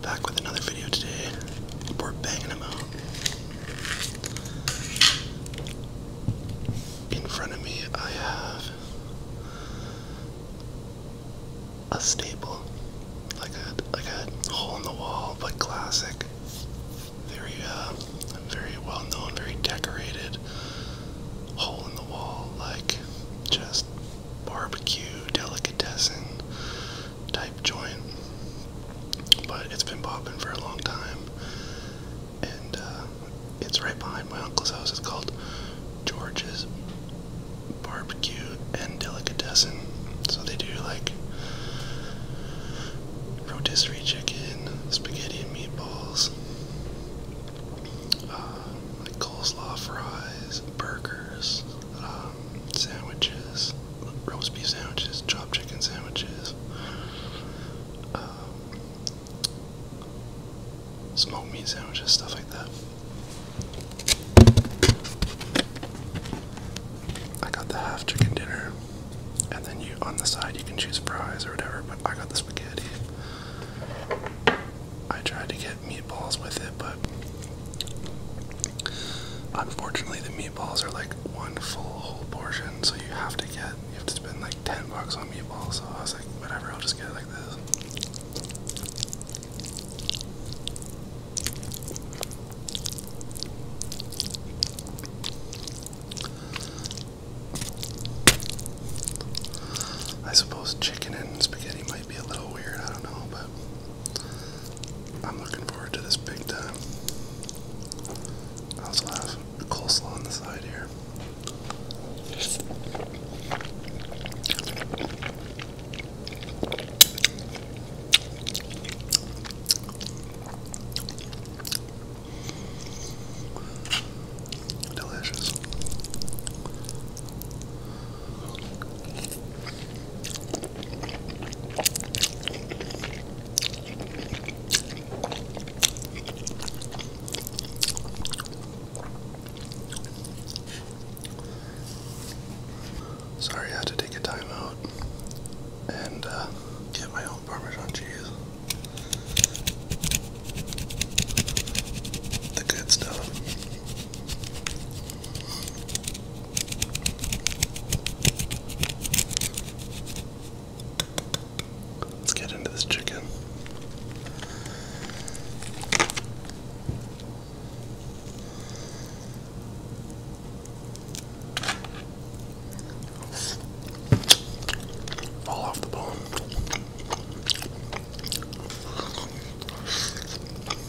Back with another video today. We're banging them out. In front of me, I have a staple, like a like a hole in the wall, but classic. Very uh, very well known, very decorated hole in the wall, like just barbecue delicatessen type joint, but it's been popping for a long time, and uh, it's right behind my uncle's house. It's called George's Barbecue and Delicatessen. So they do like rotisserie chicken, spaghetti and meatballs, uh, like coleslaw fries, burgers. Uh, sandwiches, roast beef sandwiches, chopped chicken sandwiches, um, smoked meat sandwiches, stuff like that. I got the half chicken dinner, and then you on the side you can choose fries or whatever. But I got the spaghetti. I tried to get unfortunately the meatballs are like one full portion, so you have to get you have to spend like ten bucks on meatballs. So I was like, whatever, I'll just get like this. I suppose chicken and spaghetti might be a little weird, I don't know, but I'm looking forward to this big time. I also have coleslaw on the side here. Delicious. Sorry, I had to take a time out and uh, get my own Parmesan cheese. The good stuff. Let's get into this chicken. Fall off the bone.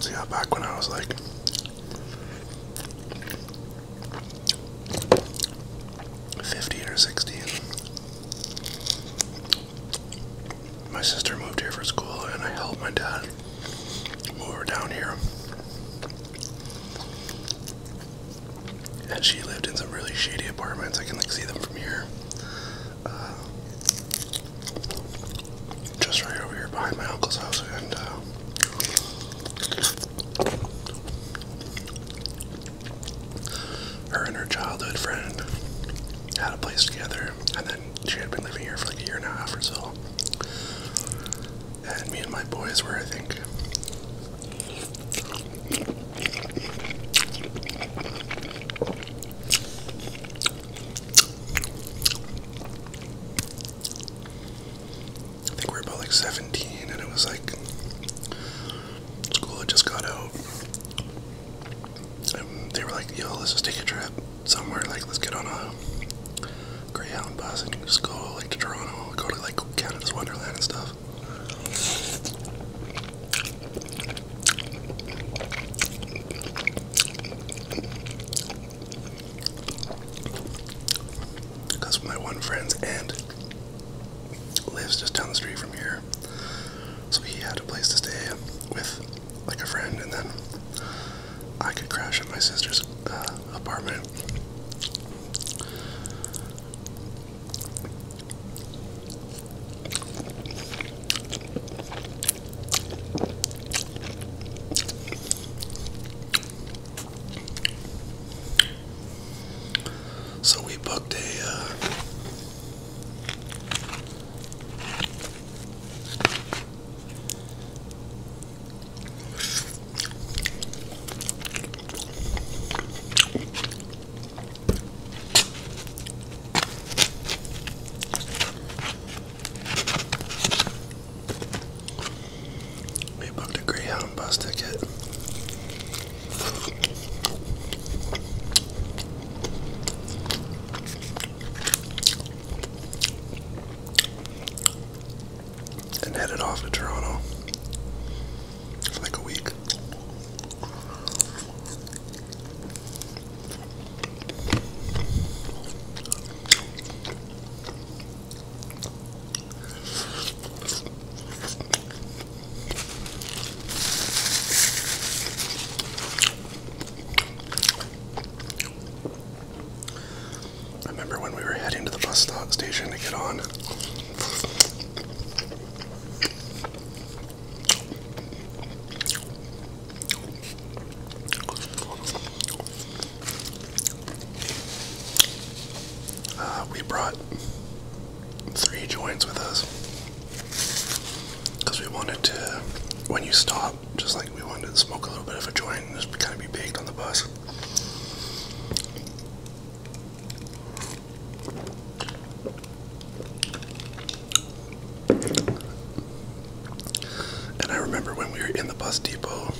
See how back when I was like fifteen or sixteen, my sister moved here for school, and I helped my dad move her down here. And she lived in some really shady apartments. I can like see them from here. Uh, just right over here behind my uncle's house, and uh, her and her childhood friend had a place together, and then she had been living here for like a year and a half or so. And me and my boys were, I think. I think we were about like 17, and it was like school had just got out, they were like, yo, let's just take a trip somewhere. Like, let's get on a Greyhound bus and just go like to Toronto, go to like Canada's Wonderland and stuff. Because my one friend's aunt lives just down the street from here. So he had a place to stay with like a friend and then I could crash at my sister's uh, apartment. So we booked a uh, we booked a Greyhound bus ticket and headed off to Toronto for like a week. I remember when we were heading to the bus station to get on. Uh, we brought three joints with us because we wanted to, when you stop, just like we wanted to smoke a little bit of a joint and just kind of be baked on the bus. And I remember when we were in the bus depot,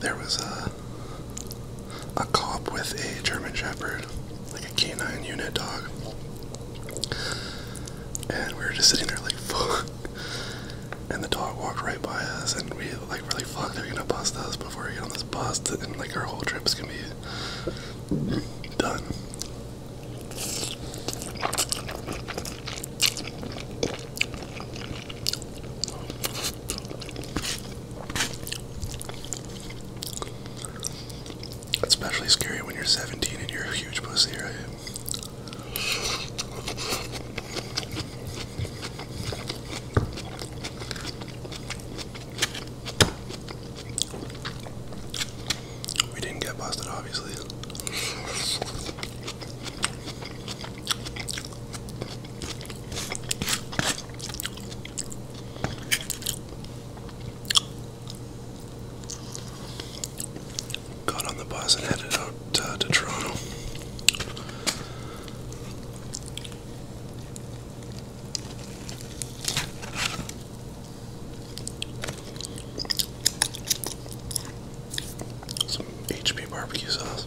there was a a cop with a German Shepherd, like a canine unit dog. And we were just sitting there like, fuck. And the dog walked right by us, and we like really, fuck, they're gonna bust us before we get on this bus, and like our whole trip's gonna be done. Especially scary when you're 17 and you're a huge pussy, right? We didn't get busted, obviously. Got on the bus and headed out uh, to Toronto. Some HP barbecue sauce.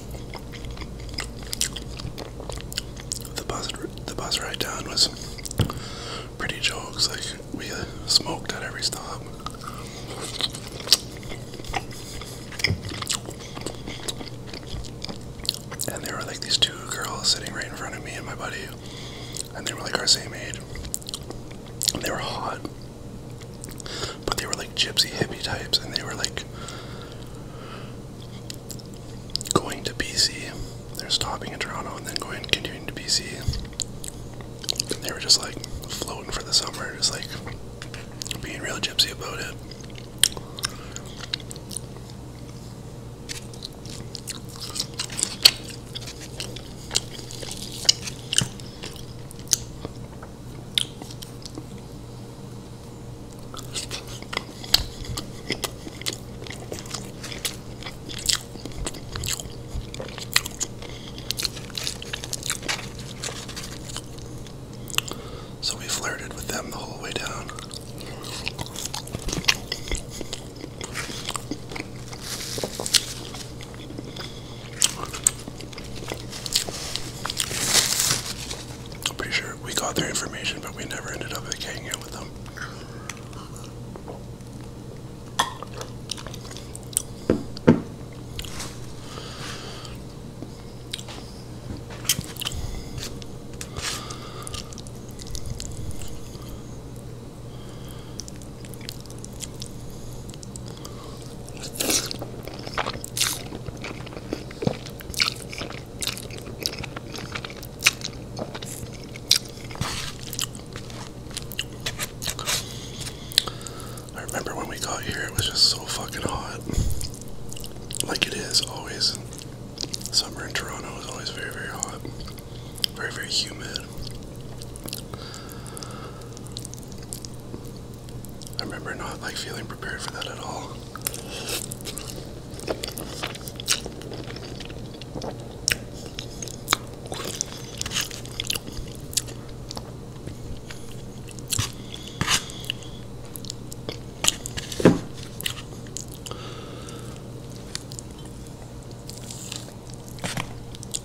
The bus, the bus ride down was pretty jokes. Like we smoked at every stop. And there were like these two girls sitting right in front of me and my buddy, and they were like our same age. And they were hot, but they were like gypsy hippie types, and they were like going to BC. They're stopping in Toronto and then going and continuing to BC. And they were just like floating for the summer, just like being real gypsy about it. So we flirted with them the whole way down. I'm pretty sure we got their information, but we never ended up like, hanging out with them. I remember when we got here, it was just so fucking hot. Like it is always. Summer in Toronto is always very, very hot, very, very humid. I remember not like feeling prepared for that at all.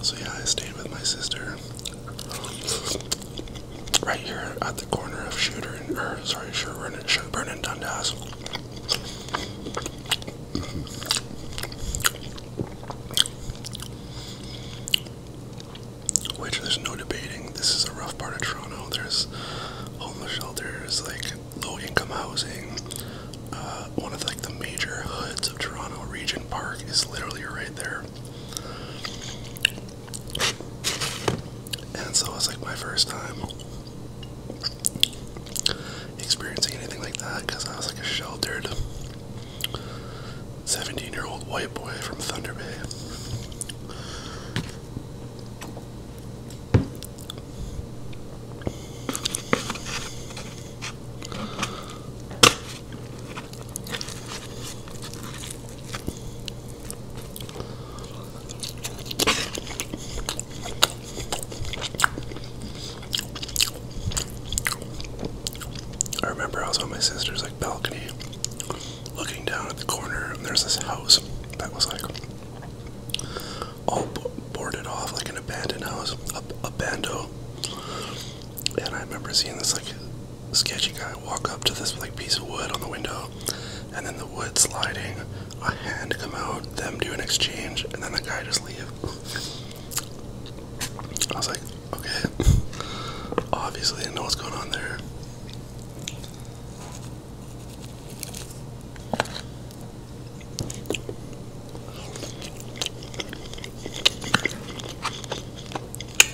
So yeah, I stayed with my sister um, right here at the corner of Shooter and, or sorry, Sherburne and, Dundas. Which there's no debating. This is a rough part of Toronto. There's homeless shelters, like low-income housing. Uh, one of like the major hoods of Toronto, Regent Park, is literally right there. And so it was like my first time experiencing anything like that because I was like a sheltered 17 year old white boy from Thunder Bay. I remember I was on my sister's like balcony looking down at the corner and there's this house that was like all boarded off like an abandoned house, a, a bando. And I remember seeing this like sketchy guy walk up to this like piece of wood on the window and then the wood sliding, a hand come out, them do an exchange, and then the guy just leave. I was like, okay, obviously I didn't know what's going on there.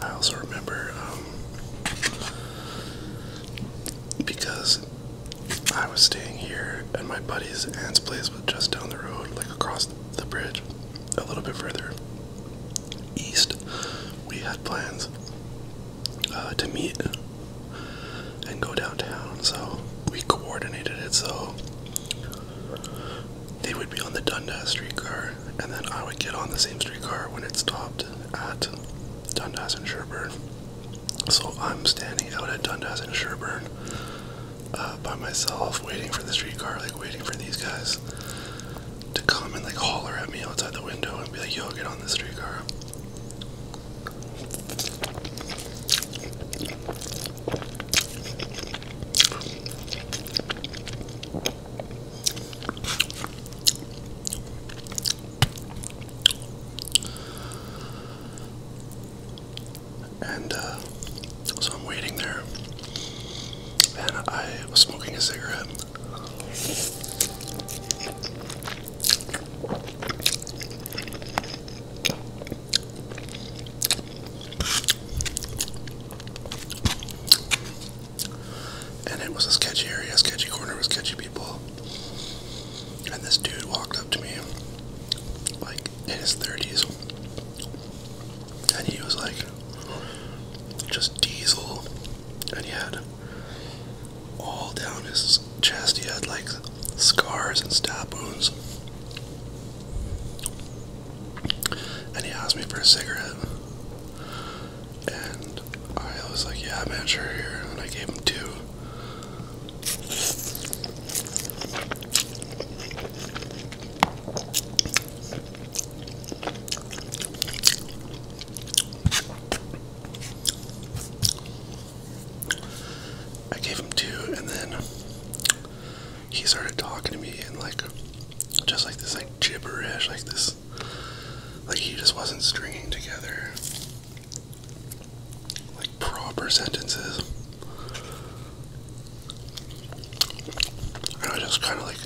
I also remember um, because I was staying here at my buddy's aunt's place, was just down the road, like across the bridge, a little bit further. East, we had plans uh, to meet and go downtown, so we coordinated it so they would be on the Dundas streetcar, and then I would get on the same streetcar when it stopped at Dundas and Sherburne. So I'm standing out at Dundas and Sherburne uh, by myself, waiting for the streetcar, like waiting for these guys to come and like holler at me outside the window and be like, yo, get on the streetcar. And uh, so I'm waiting there, and I was smoking a cigarette. And it was a sketchy area, a sketchy corner with sketchy people. And this dude walked up to me, like in his 30s, and he was like, just diesel, and he had all down his chest, he had like scars and stab wounds. And he asked me for a cigarette, and I was like, Yeah, man, sure, here. And I gave him two. I gave him two, and then he started talking to me in like just like this, like gibberish, like this, like he just wasn't stringing together like proper sentences. And I just kind of like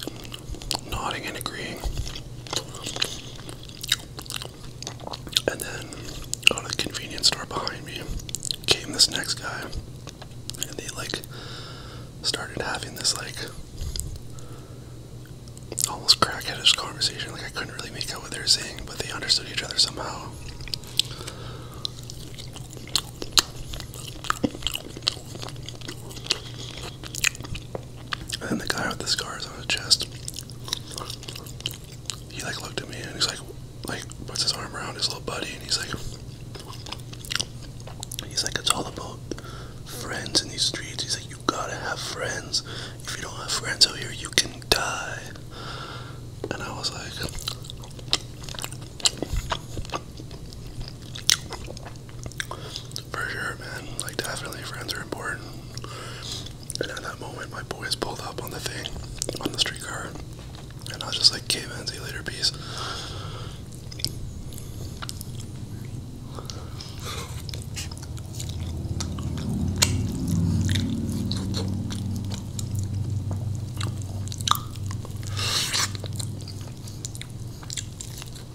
nodding and agreeing. And then out of the convenience store behind me came this next guy. And they like started having this like almost crackheadish conversation. Like I couldn't really make out what they were saying, but they understood each other somehow. And then the guy with the scars on his chest, he like looked at me and he's like, like puts his arm around his little buddy and he's like, he's like, it's all about friends in these streets. He's like, you gotta have friends. If you don't have friends out here, you can die. And I was like, for sure, man. Like, definitely friends are important. And at that moment, my boy is pulled up on the thing, on the streetcar. And I was just like, okay, man, see you later, peace.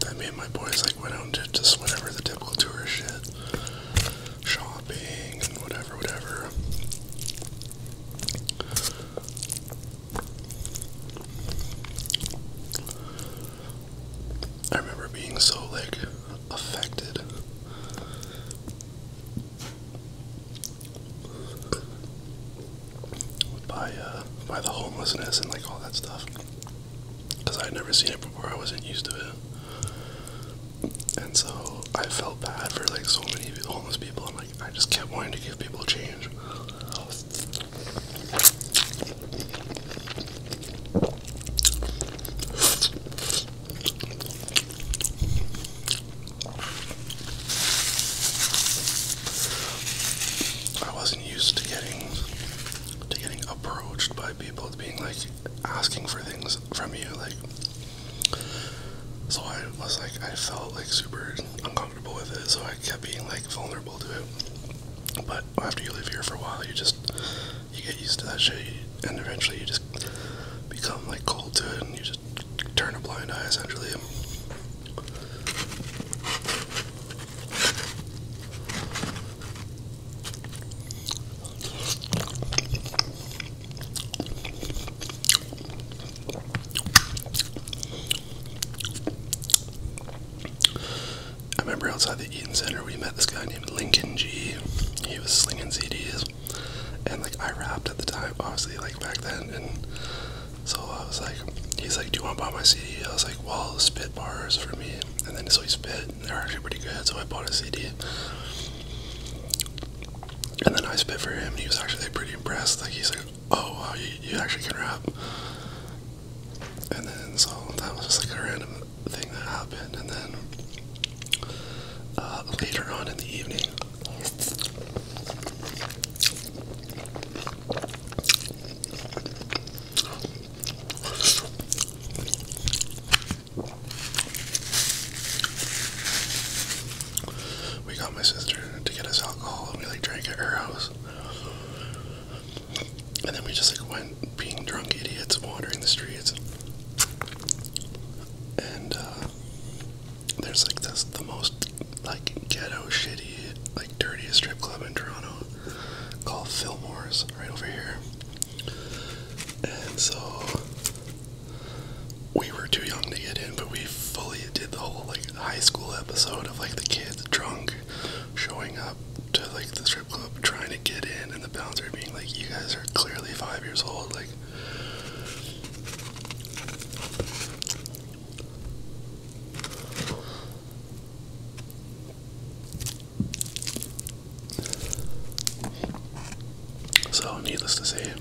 That me and my boys like went out and did just whatever the typical tourist shit. Shopping and whatever, whatever. I remember being so like affected by uh, by the homelessness and like all that stuff because I had never seen it before. I wasn't used to it, and so I felt bad for like so many homeless people. And like I just kept wanting to give people change. I was used to getting to getting approached by people being like asking for things from you like so I was like I felt like super uncomfortable with it so I kept being like vulnerable to it but after you live here for a while you just you get used to that shit and eventually you just become like cold to it and you just turn a blind eye essentially I remember outside the Eaton Center we met this guy named Lincoln G. He was slinging CDs, and like I rapped at the time, obviously, like back then, and so I was like, he's like, do you want to buy my CD? I was like, well, spit bars for me. And then so he spit, they're actually pretty good. So I bought a CD. And then I spit for him, and he was actually pretty impressed. Like he's like, oh wow, you, actually can rap. And then so that was just like a random thing that happened. And then uh, later on in the evening, we got my sister to get us alcohol and we like drank at her house. And then we just like went being drunk idiots wandering the streets. And uh, there's like this the most like ghetto, shitty, like dirtiest strip club in Toronto called Fillmore's right over here. And so we were too young to get in, but we fully did the whole like high school episode of like the kids drunk showing up to like the strip club trying to get in and the bouncer being like, You guys are clearly five years old, like so, needless to say,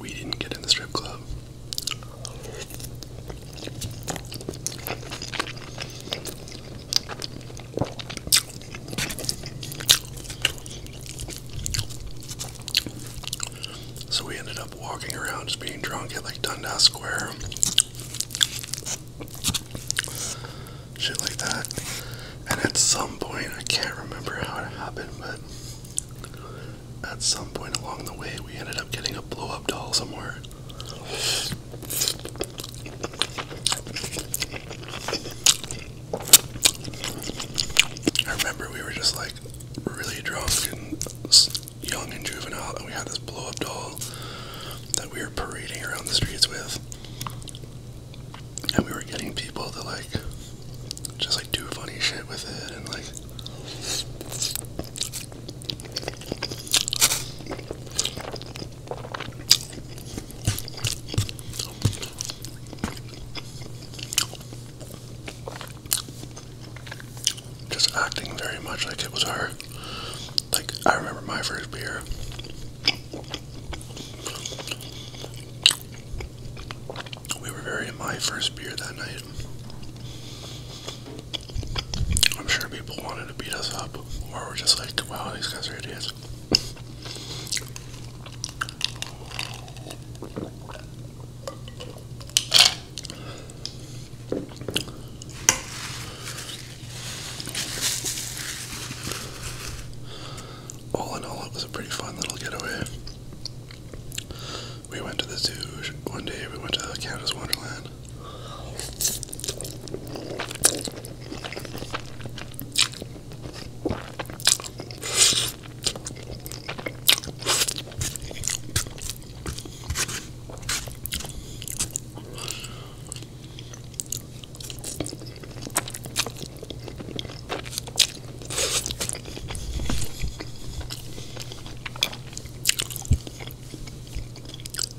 we didn't get in the strip club. So we ended up walking around just being drunk at like Dundas Square. Shit like that. And at some point, I can't remember how it happened, but at some point along the way, we ended up getting a blow up doll somewhere. I remember we were just like really drunk and young and juvenile, and we had this blow up doll that we were parading around the streets with. And we were getting people to like just like do funny shit with it and like just acting very much like it was her. Like, I remember my first beer. We were very in my first beer that night. I'm sure people wanted to beat us up, or we're just like, wow, these guys are idiots. All in all, it was a pretty fun little getaway. We went to the zoo one day, we went to the Canada's Wonderland.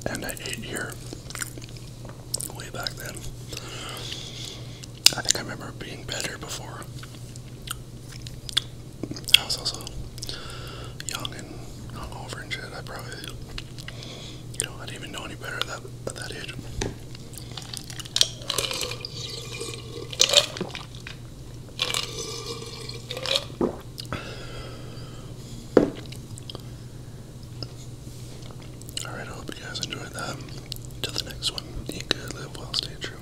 And I ate here way back then. I think I remember being better before. I was also young and hungover and shit. I probably, you know, I didn't even know any better at that, that age. Alright, I hope you guys enjoyed that. Till the next one, eat good, live well, stay true.